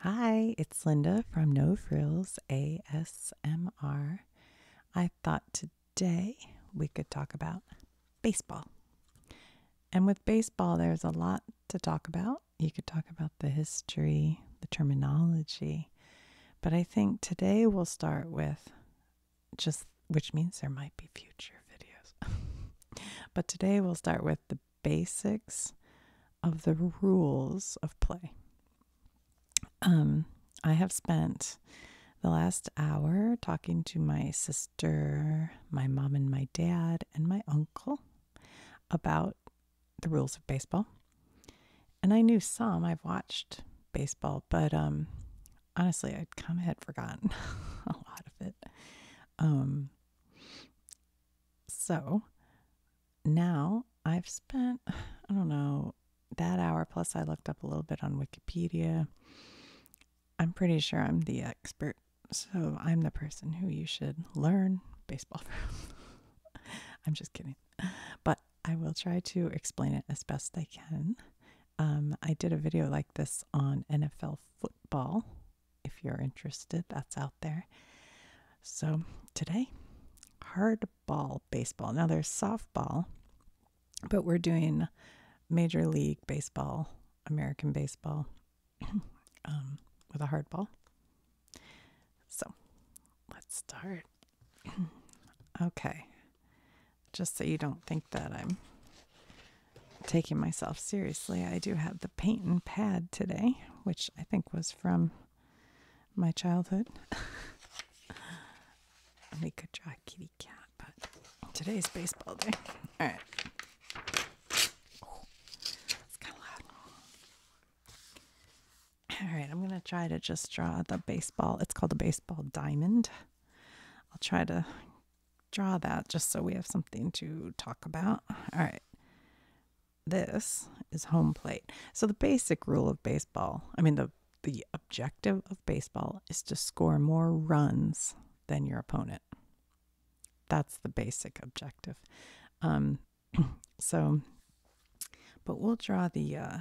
Hi, it's Linda from No Frills ASMR. I thought today we could talk about baseball. And with baseball, there's a lot to talk about. You could talk about the history, the terminology, but I think today we'll start with just, which means there might be future videos. but today we'll start with the basics of the rules of play. Um, I have spent the last hour talking to my sister, my mom, and my dad, and my uncle about the rules of baseball. And I knew some, I've watched baseball, but um, honestly, I kind of had forgotten a lot of it. Um, so now I've spent, I don't know, that hour plus I looked up a little bit on Wikipedia. I'm pretty sure I'm the expert, so I'm the person who you should learn baseball from. I'm just kidding. But I will try to explain it as best I can. Um, I did a video like this on NFL football if you're interested, that's out there. So today, hard ball baseball. Now there's softball, but we're doing Major League Baseball, American baseball, um, with a hard ball. So let's start. okay, just so you don't think that I'm taking myself seriously, I do have the paint and pad today which I think was from my childhood. we could draw a kitty cat, but today's baseball day. All right. it's kind of loud. All right, I'm going to try to just draw the baseball. It's called a baseball diamond. I'll try to draw that just so we have something to talk about. All right this is home plate. So the basic rule of baseball, I mean the the objective of baseball is to score more runs than your opponent. That's the basic objective. Um, so, but we'll draw the uh,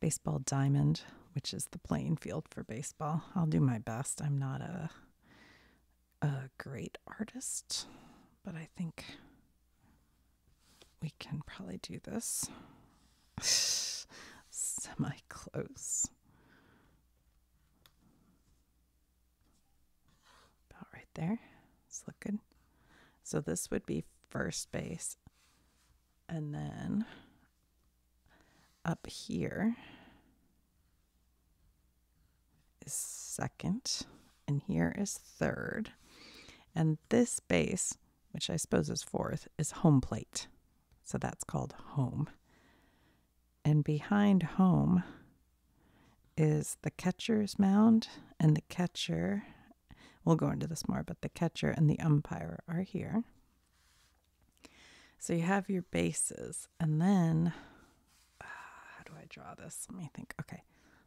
baseball diamond, which is the playing field for baseball. I'll do my best. I'm not a a great artist, but I think we can probably do this semi close. About right there. It's looking. So this would be first base. And then up here is second, and here is third. And this base, which I suppose is fourth, is home plate. So that's called home. And behind home is the catcher's mound, and the catcher, we'll go into this more, but the catcher and the umpire are here. So you have your bases and then, ah, how do I draw this? Let me think. Okay,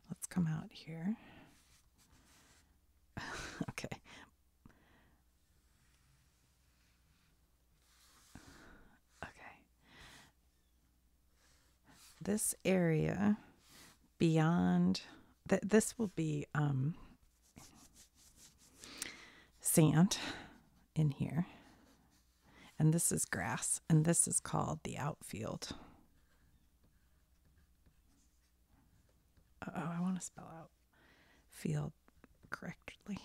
let's come out here. okay. Okay. This area beyond, th- this will be um, sand in here. And this is grass, and this is called the outfield. Uh oh, I want to spell out field correctly.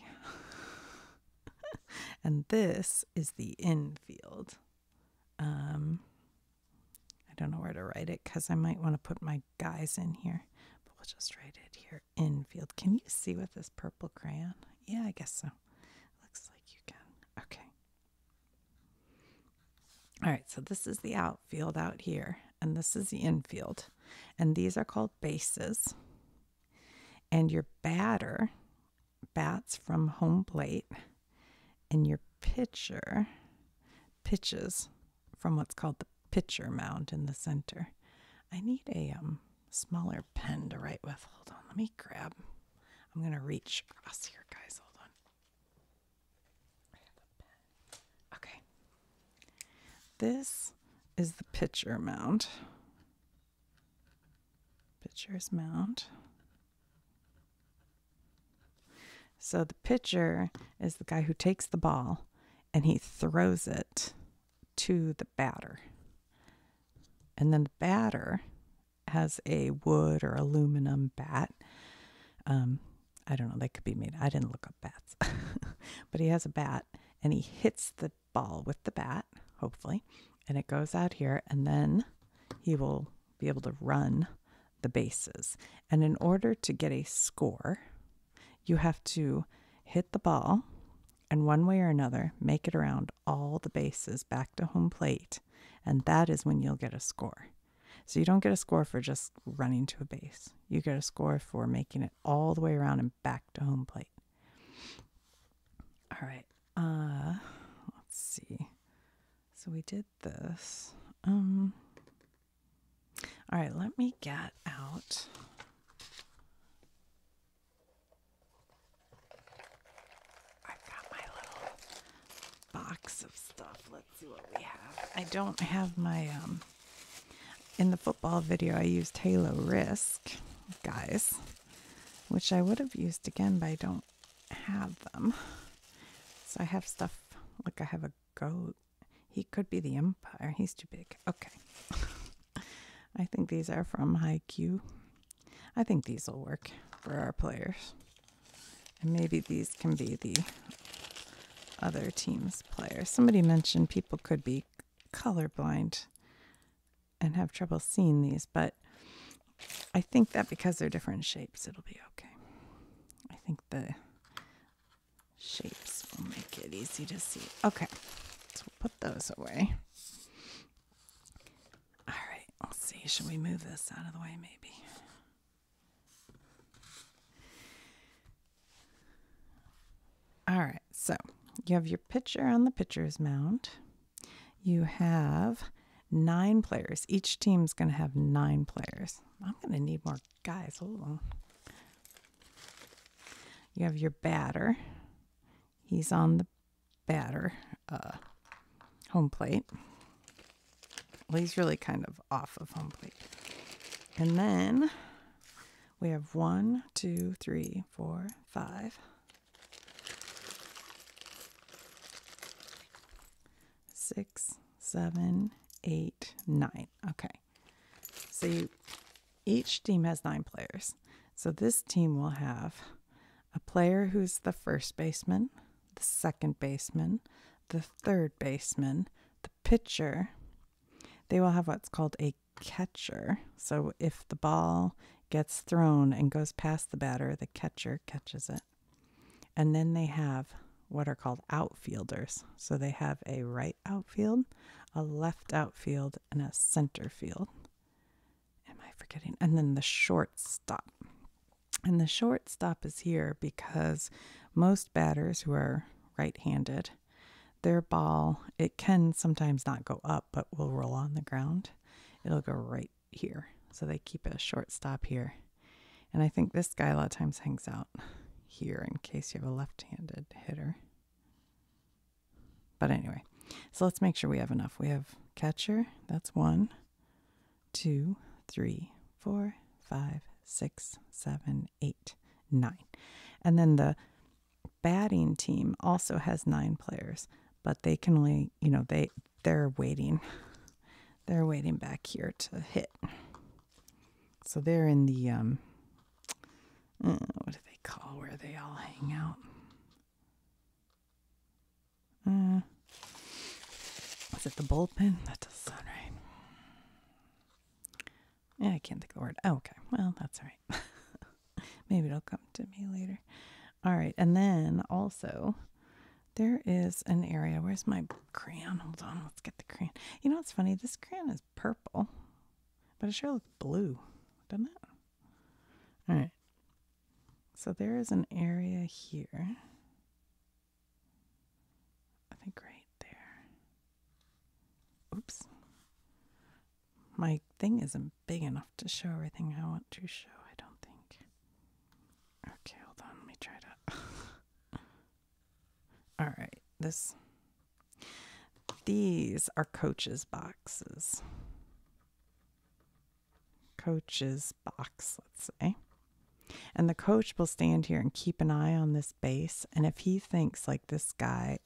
and this is the infield. Um, I don't know where to write it because I might want to put my guys in here, but we'll just write it here infield. Can you see with this purple crayon? Yeah, I guess so. Looks like you can. Okay. All right, so this is the outfield out here, and this is the infield. And these are called bases. And your batter bats from home plate, and your pitcher pitches from what's called the pitcher mound in the center. I need a um smaller pen to write with. Hold on, let me grab. I'm going to reach across here, guys. Hold on. Okay. This is the pitcher mound. Pitcher's mound. So the pitcher is the guy who takes the ball and he throws it to the batter. And then the batter has a wood or aluminum bat. Um, I don't know, they could be made. I didn't look up bats. but he has a bat and he hits the ball with the bat, hopefully, and it goes out here. And then he will be able to run the bases. And in order to get a score, you have to hit the ball and one way or another make it around all the bases back to home plate, and that is when you'll get a score. So you don't get a score for just running to a base. You get a score for making it all the way around and back to home plate. All right. Uh let's see. So we did this. Um All right, let me get out i got my little box of stuff. Let's see what we have. I don't have my um in the football video I used Halo Risk, guys, which I would have used again, but I don't have them. So I have stuff like I have a goat. He could be the empire. He's too big. Okay. I think these are from Q. I think these will work for our players. And maybe these can be the other team's players. Somebody mentioned people could be colorblind and have trouble seeing these, but I think that because they're different shapes, it'll be okay. I think the shapes will make it easy to see. Okay, so we'll put those away. All right, let's see. Should we move this out of the way, maybe? All right, so you have your pitcher on the pitcher's mound. You have nine players. Each team's going to have nine players. I'm going to need more guys. Hold on. You have your batter. He's on the batter uh, home plate. Well, he's really kind of off of home plate. And then we have one, two, three, four, five, six, seven, eight, nine. Okay. So you each team has nine players. So this team will have a player who's the first baseman, the second baseman, the third baseman, the pitcher. They will have what's called a catcher. So if the ball gets thrown and goes past the batter, the catcher catches it. And then they have what are called outfielders. So they have a right outfield, a left outfield, and a center field am I forgetting? And then the short stop. And the short stop is here because most batters who are right handed, their ball, it can sometimes not go up, but will roll on the ground. It'll go right here. So they keep a short stop here. And I think this guy a lot of times hangs out here in case you have a left handed hitter. But anyway, so let's make sure we have enough. We have catcher, that's one, two, three, four, five, six, seven, eight, nine. And then the batting team also has nine players, but they can only, you know, they they're waiting. They're waiting back here to hit. So they're in the um uh, what do they call where they all hang out? Mm. Is it the bullpen? That doesn't sound right. Yeah, I can't think of the word. Oh, okay. Well, that's all right. Maybe it'll come to me later. All right. And then also, there is an area. Where's my crayon? Hold on. Let's get the crayon. You know what's funny? This crayon is purple, but it sure looks blue, doesn't it? All right. So there is an area here. I think right there. Oops. My thing isn't big enough to show everything I want to show, I don't think. Okay, hold on. Let me try to. All right. This. These are coaches' boxes coach's box, let's say. And the coach will stand here and keep an eye on this base. And if he thinks like this guy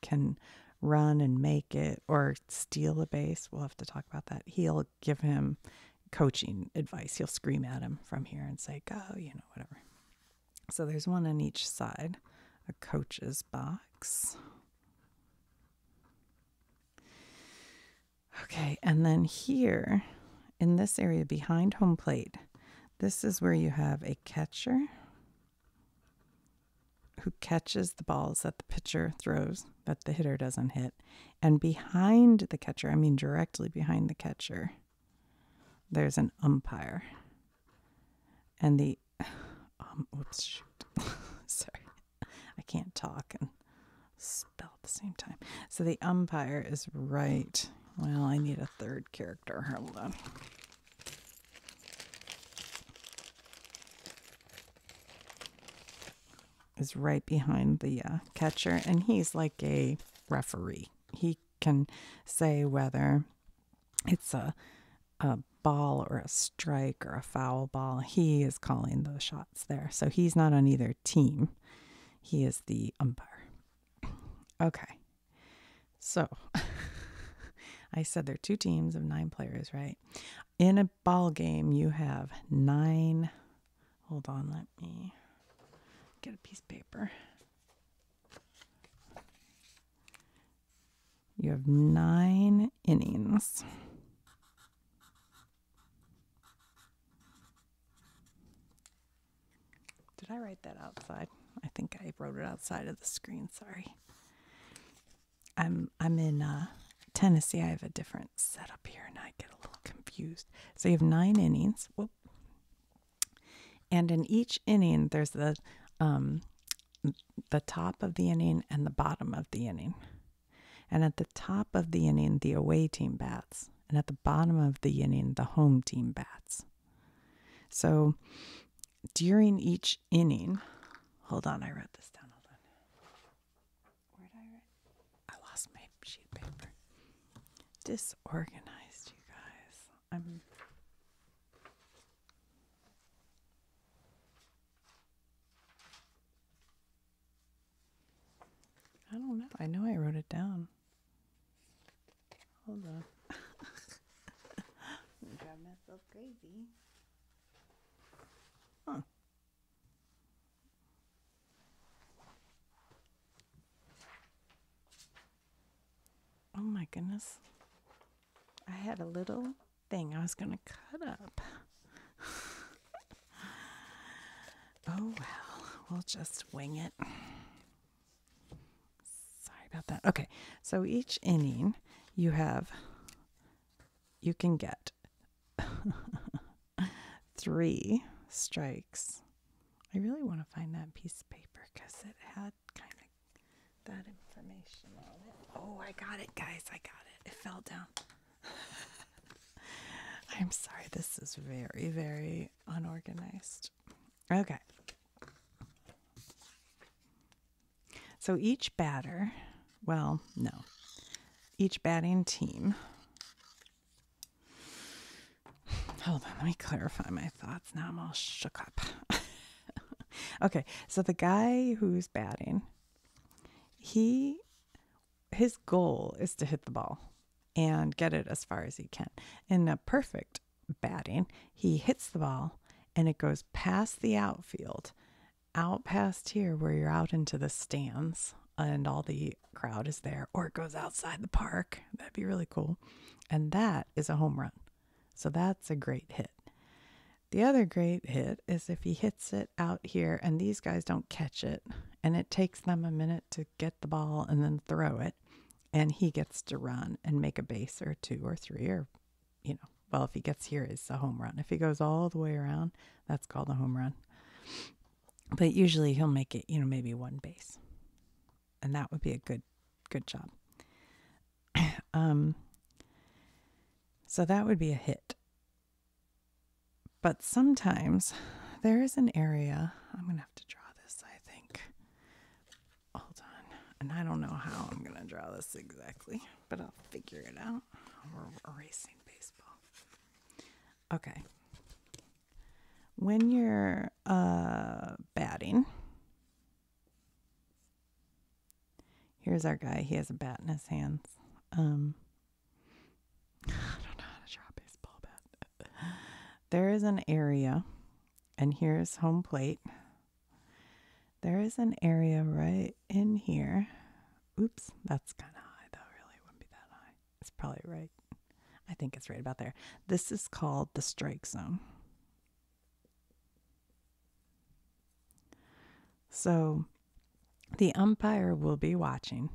can run and make it or steal a base, we'll have to talk about that. He'll give him coaching advice. He'll scream at him from here and say, go, you know, whatever. So there's one on each side, a coach's box. Okay, and then here in this area behind home plate, this is where you have a catcher who catches the balls that the pitcher throws that the hitter doesn't hit. And behind the catcher, I mean directly behind the catcher, there's an umpire. And the Um, oops, Sorry. I can't talk and spell at the same time. So the umpire is right. Well, I need a third character. Hold on. Is right behind the uh, catcher, and he's like a referee. He can say whether it's a, a ball or a strike or a foul ball. He is calling the shots there. So he's not on either team. He is the umpire. Okay. So I said there are two teams of nine players, right? In a ball game, you have nine. Hold on, let me get a piece of paper. You have nine innings. Did I write that outside? I think I wrote it outside of the screen. Sorry. I'm I'm in uh, Tennessee. I have a different setup here, and I get a little confused. So you have nine innings. Whoop. And in each inning, there's the um, the top of the inning and the bottom of the inning. And at the top of the inning, the away team bats. And at the bottom of the inning, the home team bats. So during each inning, hold on, I wrote this down. Hold on. Where did I write? I lost my sheet paper. Disorganized, you guys. I'm I don't know. I know I wrote it down. Hold on. I'm drive myself crazy. Huh. Oh my goodness. I had a little thing I was going to cut up. oh, well, we'll just wing it. Sorry about that. Okay, so each inning you have, you can get three strikes. I really want to find that piece of paper because it had kind of that information on it. Oh, I got it, guys. I got it. It fell down. I'm sorry. This is very, very unorganized. Okay. So each batter, well, no, each batting team. Hold on, let me clarify my thoughts. Now I'm all shook up. okay, so the guy who's batting, he his goal is to hit the ball and get it as far as he can. In a perfect batting, he hits the ball and it goes past the outfield, out past here where you're out into the stands and all the crowd is there, or it goes outside the park. That'd be really cool. And that is a home run. So that's a great hit. The other great hit is if he hits it out here and these guys don't catch it, and it takes them a minute to get the ball and then throw it, and he gets to run and make a base or two or three, or, you know, well, if he gets here, is a home run. If he goes all the way around, that's called a home run. But usually he'll make it, you know, maybe one base. And that would be a good, good job. um, so that would be a hit. But sometimes there is an area, I'm going to have to draw this, I think. Hold on. And I don't know how I'm going to draw this exactly, but I'll figure it out. We're erasing baseball. Okay. When you're uh, batting, Here's our guy. He has a bat in his hands. Um, I don't know how to draw a baseball bat. there is an area, and here's home plate. There is an area right in here. Oops, that's kind of high though, really. wouldn't be that high. It's probably right. I think it's right about there. This is called the strike zone. So the umpire will be watching,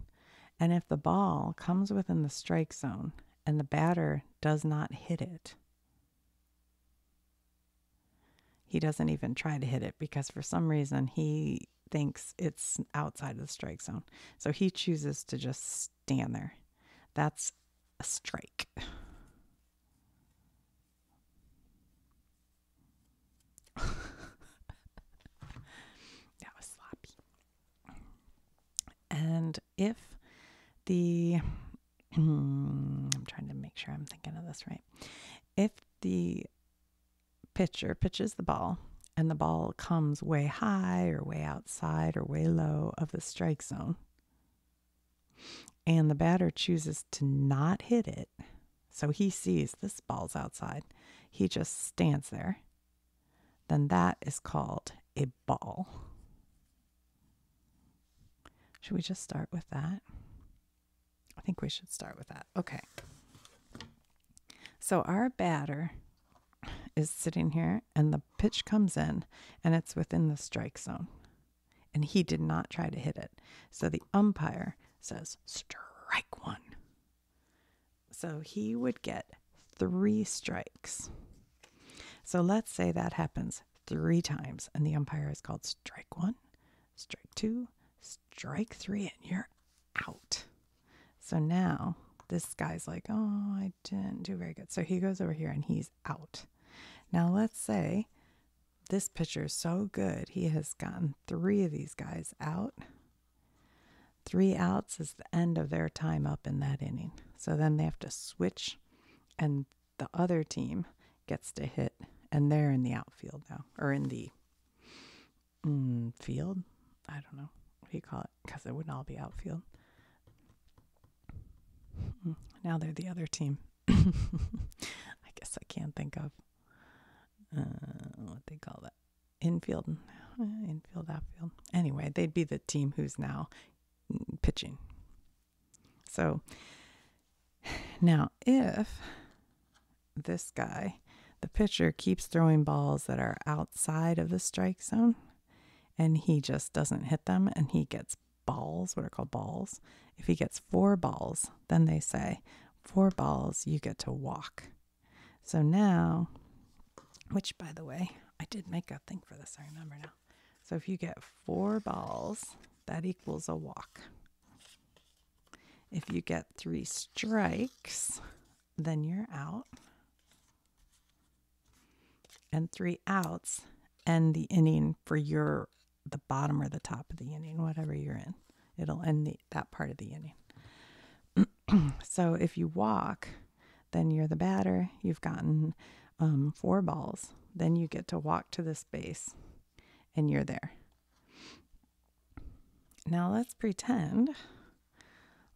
and if the ball comes within the strike zone and the batter does not hit it, he doesn't even try to hit it because for some reason he thinks it's outside of the strike zone. So he chooses to just stand there. That's a strike. that was sloppy. And if the, I'm trying to make sure I'm thinking of this right. If the pitcher pitches the ball and the ball comes way high or way outside or way low of the strike zone, and the batter chooses to not hit it, so he sees this ball's outside, he just stands there, then that is called a ball. Should we just start with that? I think we should start with that. Okay. So our batter is sitting here, and the pitch comes in, and it's within the strike zone and he did not try to hit it. So the umpire says, strike one. So he would get three strikes. So let's say that happens three times, and the umpire is called strike one, strike two, strike three, and you're out. So now this guy's like, oh, I didn't do very good. So he goes over here and he's out. Now, let's say this pitcher is so good, he has gotten three of these guys out. Three outs is the end of their time up in that inning. So then they have to switch, and the other team gets to hit, and they're in the outfield now, or in the mm, field. I don't know what you call it, because it wouldn't all be outfield. Mm, now they're the other team. I guess I can't think of uh, what they call that infield, uh, infield, outfield. Anyway, they'd be the team who's now pitching. So now, if this guy, the pitcher, keeps throwing balls that are outside of the strike zone and he just doesn't hit them and he gets balls, what are called balls. If he gets four balls, then they say, four balls, you get to walk. So now, which by the way, I did make a thing for this, I remember now. So if you get four balls, that equals a walk. If you get three strikes, then you're out. And three outs end the inning for your the bottom or the top of the inning, whatever you're in. It'll end that part of the inning. so if you walk, then you're the batter. You've gotten um, four balls. Then you get to walk to this base, and you're there. Now let's pretend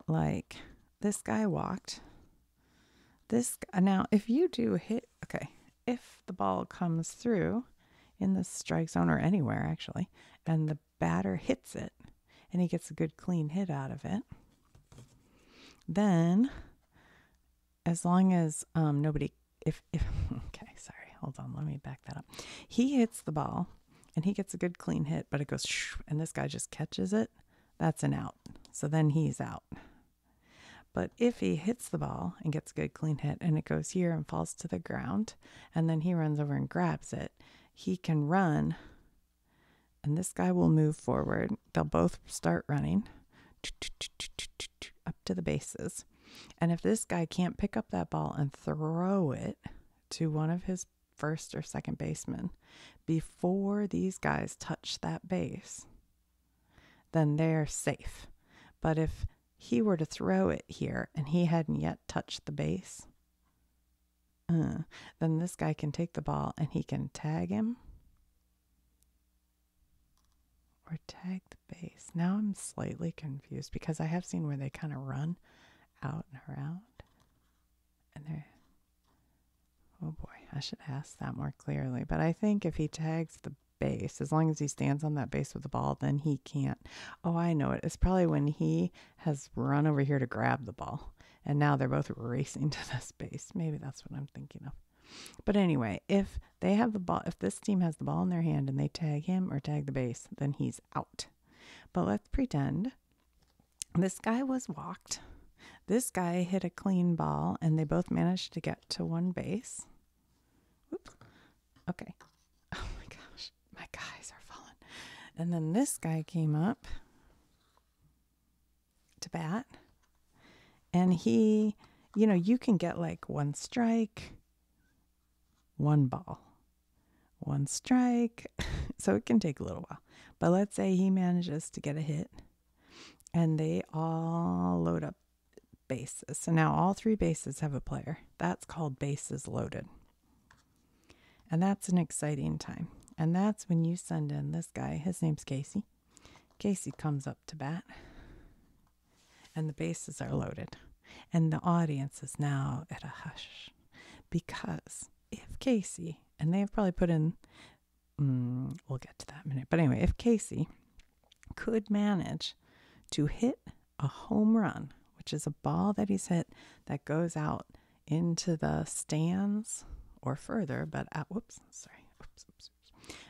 like this guy walked this uh, now, if you do hit, okay, if the ball comes through in the strike zone or anywhere actually, and the batter hits it and he gets a good clean hit out of it, then as long as um, nobody, if, if, okay, sorry, hold on, let me back that up. He hits the ball and he gets a good clean hit, but it goes, and this guy just catches it. That's an out. So then he's out. But if he hits the ball and gets a good clean hit and it goes here and falls to the ground, and then he runs over and grabs it, he can run and this guy will move forward. They'll both start running up to the bases. And if this guy can't pick up that ball and throw it to one of his first or second basemen before these guys touch that base, then they're safe. But if he were to throw it here and he hadn't yet touched the base, uh, then this guy can take the ball and he can tag him or tag the base. Now I'm slightly confused because I have seen where they kind of run out and around and they Oh boy, I should ask that more clearly. But I think if he tags the base, as long as he stands on that base with the ball, then he can't. Oh, I know it. It's probably when he has run over here to grab the ball. And now they're both racing to this base. Maybe that's what I'm thinking of. But anyway, if they have the ball, if this team has the ball in their hand and they tag him or tag the base, then he's out. But let's pretend this guy was walked. This guy hit a clean ball and they both managed to get to one base. Okay. Oh my gosh, my guys are falling. And then this guy came up to bat. And he, you know, you can get like one strike, one ball, one strike. so it can take a little while. But let's say he manages to get a hit and they all load up bases. So now all three bases have a player. That's called bases loaded. And that's an exciting time. And that's when you send in this guy. His name's Casey. Casey comes up to bat, and the bases are loaded. And the audience is now at a hush because if Casey, and they have probably put in Mm, we'll get to that minute. But anyway, if Casey could manage to hit a home run, which is a ball that he's hit that goes out into the stands or further, but out, whoops, sorry, oops,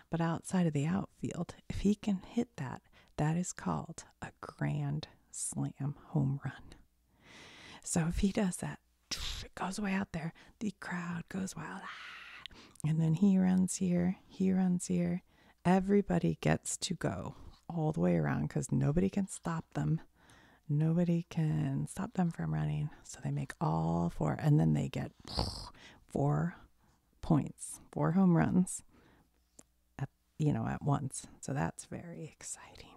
but outside of the outfield, if he can hit that, that is called a grand slam home run. So if he does that, it goes way out there, the crowd goes wild. Ah, and then he runs here, he runs here. Everybody gets to go all the way around because nobody can stop them. Nobody can stop them from running. So they make all four and then they get four points, four home runs you know at once. So that's very exciting.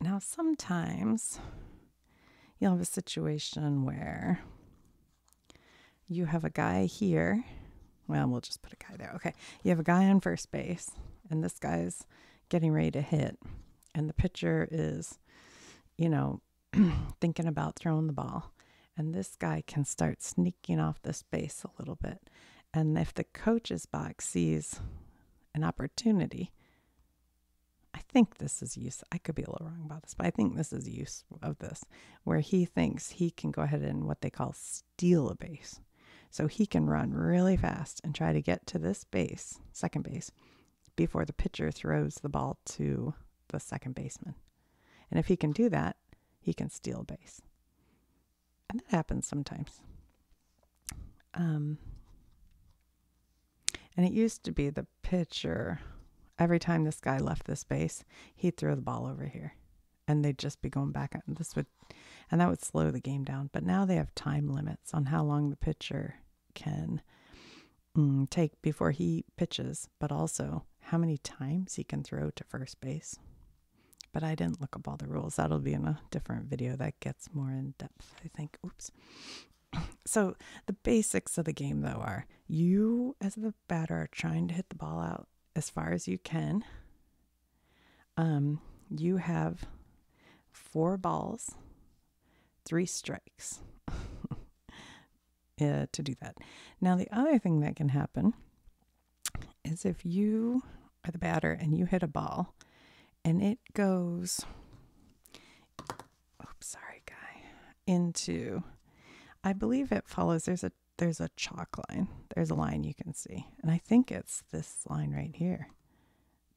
Now sometimes you'll have a situation where you have a guy here. Well, we'll just put a guy there. Okay. You have a guy on first base, and this guy's getting ready to hit. And the pitcher is, you know, thinking about throwing the ball. And this guy can start sneaking off this base a little bit. And if the coach's box sees an opportunity, I think this is use. I could be a little wrong about this, but I think this is use of this, where he thinks he can go ahead and what they call steal a base. So he can run really fast and try to get to this base, second base, before the pitcher throws the ball to the second baseman. And if he can do that, he can steal a base. And that happens sometimes. Um, and it used to be the pitcher. Every time this guy left the base, he'd throw the ball over here and they'd just be going back. And this would, and that would slow the game down. But now they have time limits on how long the pitcher can mm, take before he pitches, but also how many times he can throw to first base. But I didn't look up all the rules. That'll be in a different video that gets more in depth, I think. Oops. So the basics of the game, though, are you as the batter are trying to hit the ball out as far as you can. Um, you have four balls, three strikes uh, to do that. Now, the other thing that can happen is if you are the batter and you hit a ball and it goes oops, sorry, guy, into, I believe it follows, there's a there's a chalk line. There's a line you can see. And I think it's this line right here,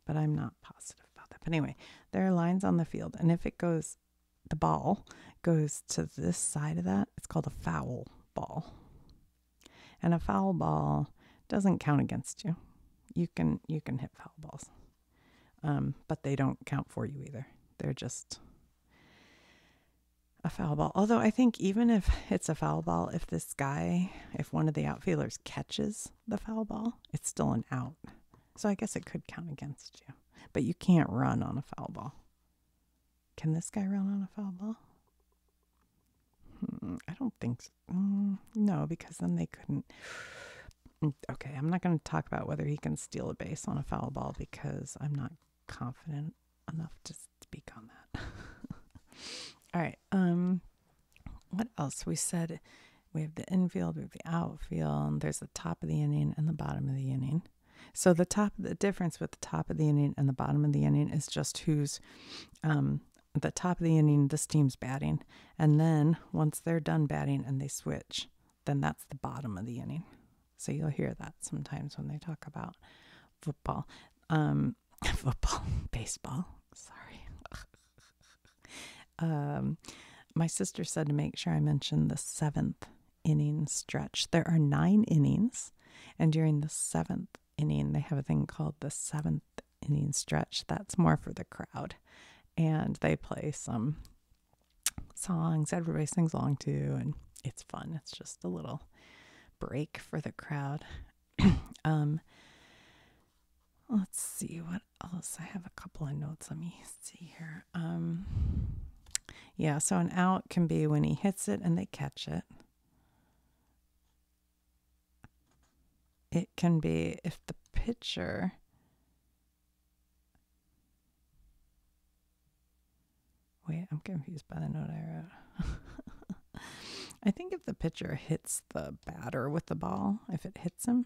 but I'm not positive about that. But anyway, there are lines on the field. And if it goes, the ball goes to this side of that, it's called a foul ball. And a foul ball doesn't count against you. You can you can hit foul balls um, but they don't count for you either. They're just a foul ball. Although I think even if it's a foul ball, if this guy, if one of the outfielders catches the foul ball, it's still an out. So I guess it could count against you. But you can't run on a foul ball. Can this guy run on a foul ball? Hmm, I don't think so. Mm, no, because then they couldn't. Mm, okay, I'm not going to talk about whether he can steal a base on a foul ball because I'm not confident enough to speak on that. All right. Um, what else? We said we have the infield, we the outfield, there's the top of the inning and the bottom of the inning. So the top, the difference with the top of the inning and the bottom of the inning is just who's um, the top of the inning. This team's batting, and then once they're done batting and they switch, then that's the bottom of the inning. So you'll hear that sometimes when they talk about football, um, football, baseball. Sorry. um, my sister said to make sure I mention the seventh inning stretch. There are nine innings, and during the seventh inning, they have a thing called the seventh inning stretch. That's more for the crowd. And they play some songs everybody sings along to, and it's fun. It's just a little break for the crowd. um, let's see what else. I have a couple of notes. Let me see here. Um, yeah, so an out can be when he hits it and they catch it it can be if the pitcher. wait i'm confused by the note i wrote i think if the pitcher hits the batter with the ball if it hits him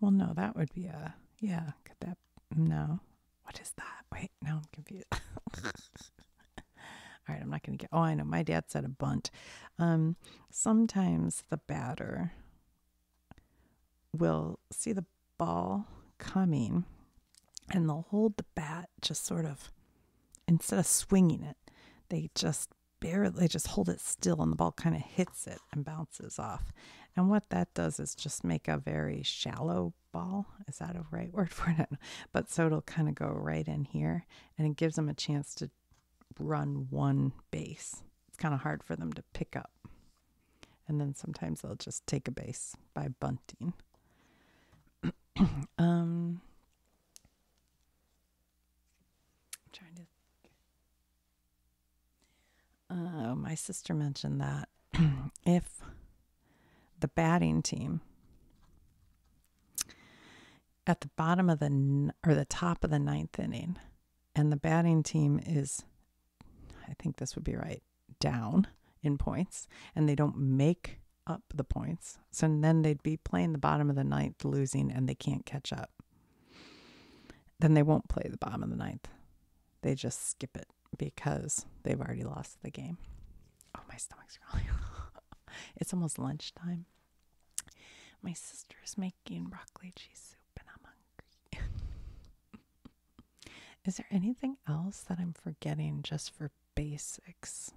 well no that would be a yeah could that no what is that wait no, i'm confused all right i'm not gonna get oh i know my dad said a bunt um sometimes the batter will see the ball coming and they'll hold the bat just sort of instead of swinging it they just barely they just hold it still and the ball kind of hits it and bounces off and what that does is just make a very shallow ball is that a right word for it but so it'll kind of go right in here and it gives them a chance to run one base. It's kind of hard for them to pick up. And then sometimes they'll just take a base by bunting. um, trying to. Uh, my sister mentioned that if the batting team at the bottom of the or the top of the ninth inning, and the batting team is, I think this would be right, down in points, and they don't make up the points. So then they'd be playing the bottom of the ninth, losing, and they can't catch up. Then they won't play the bottom of the ninth. They just skip it because they've already lost the game. Oh, my stomach's growling. it's almost lunchtime. My sister is making broccoli cheese soup and I'm hungry. Is there anything else that I'm forgetting just for basics?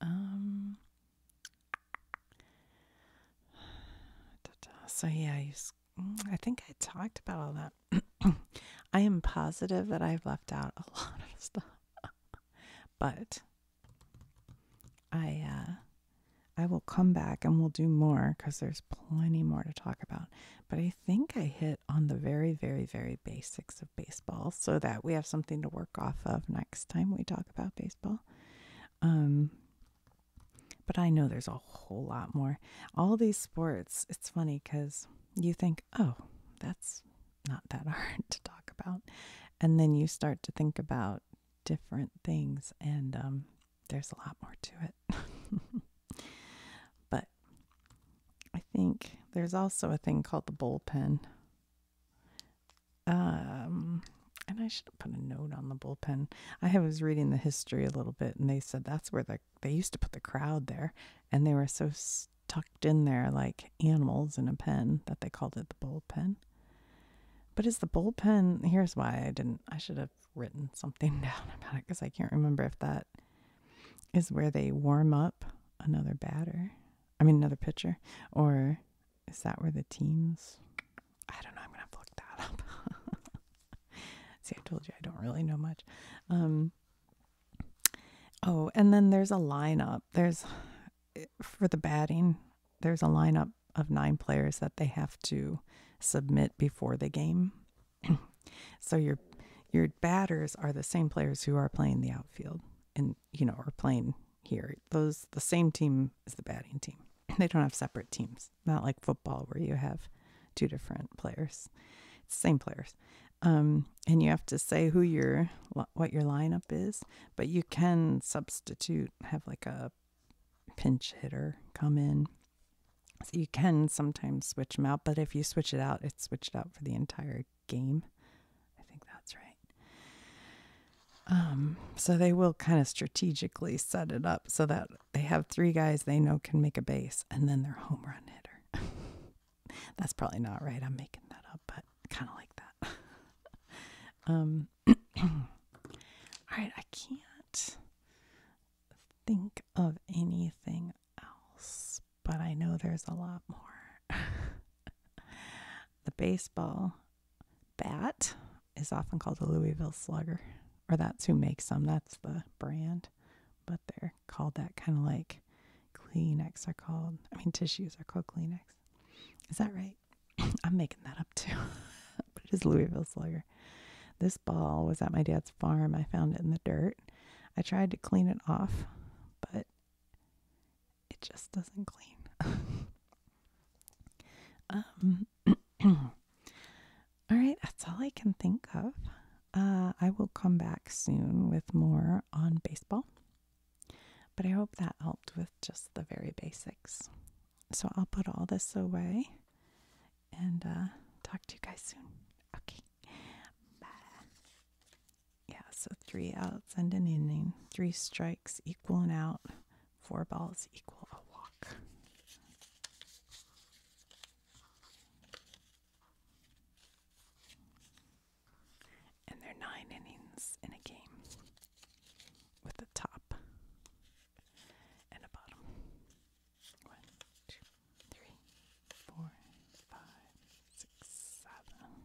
Um, so yeah, mm, I think I talked about all that. I am positive that I've left out a lot of stuff. but I uh, I will come back and we'll do more because there's plenty more to talk about. But I think I hit on the very, very, very basics of baseball so that we have something to work off of next time we talk about baseball. Um, but I know there's a whole lot more. All these sports, it's funny because you think, oh, that's not that hard to talk about. And then you start to think about different things, and um, there's a lot more to it. but I think there's also a thing called the bullpen. Um, and I should have put a note on the bullpen. I was reading the history a little bit, and they said that's where the they used to put the crowd there, and they were so tucked in there, like animals in a pen that they called it the bullpen. But is the bullpen, here's why I didn't, I should have written something down about it because I can't remember if that is where they warm up another batter, I mean, another pitcher, or is that where the teams, I don't know, I'm going to to look that up. See, I told you I don't really know much. Um, oh, and then there's a lineup. There's eh, for the batting there's a lineup of nine players that they have to submit before the game. so your your batters are the same players who are playing the outfield and you know are playing here. Those the same team is the batting team. They don't have separate teams. Not like football where you have two different players. same players. Um, and you have to say who your what your lineup is. But you can substitute, have like a pinch hitter come in. So you can sometimes switch them out, but if you switch it out, it's switched out for the entire game. I think that's right. Um, so they will kind of strategically set it up so that they have three guys they know can make a base and then their home run hitter. that's probably not right. I'm making that up, but kind of like that. um, all right, I can't think of anything else, but I know there's a lot more. the baseball bat is often called a Louisville slugger, or that's who makes them. That's the brand, but they're called that kind of like Kleenex are called, I mean, tissues are called Kleenex. Is that right? I'm making that up too, but it is Louisville Slugger. This ball was at my dad's farm. I found it in the dirt. I tried to clean it off, but it just doesn't clean. um, all right, that's all I can think of. Uh, I will come back soon with more on baseball. But I hope that helped with just the very basics. So I'll put all this away and uh, talk to you guys soon. Okay. Bye. Yeah, so three outs and an inning, three strikes equal an out, four balls equal a walk. And there are nine innings in a game with a top and a bottom. One, two, three, four, five, six, seven.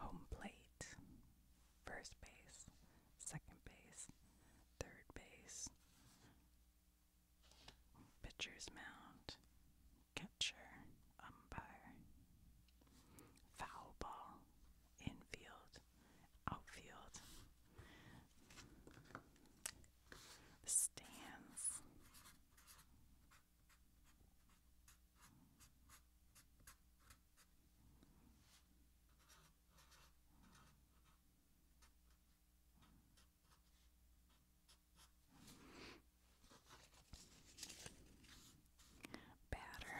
Home plate, first base, second base, third base, pitcher's mound, catcher, umpire, foul ball, infield, outfield, stands, Batter.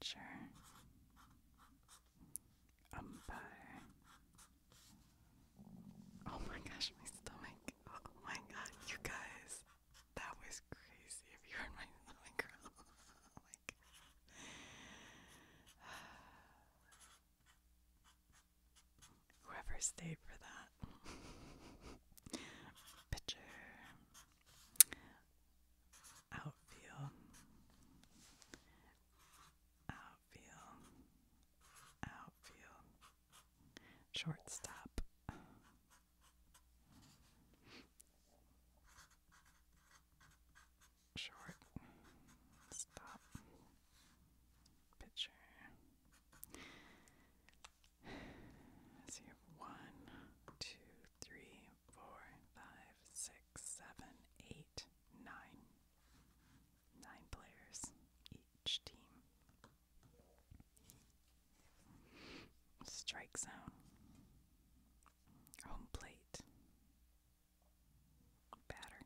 Catcher Oh my gosh, my stomach. Oh my god, you guys. That was crazy. If you heard my stomach girl, oh Whoever stayed for that. Picture outfield, outfield, outfield, shortstop. Short stop So you have one, two, three, four, five, six, seven, eight, nine. Nine players each team. Strike zone. Home plate. Batter.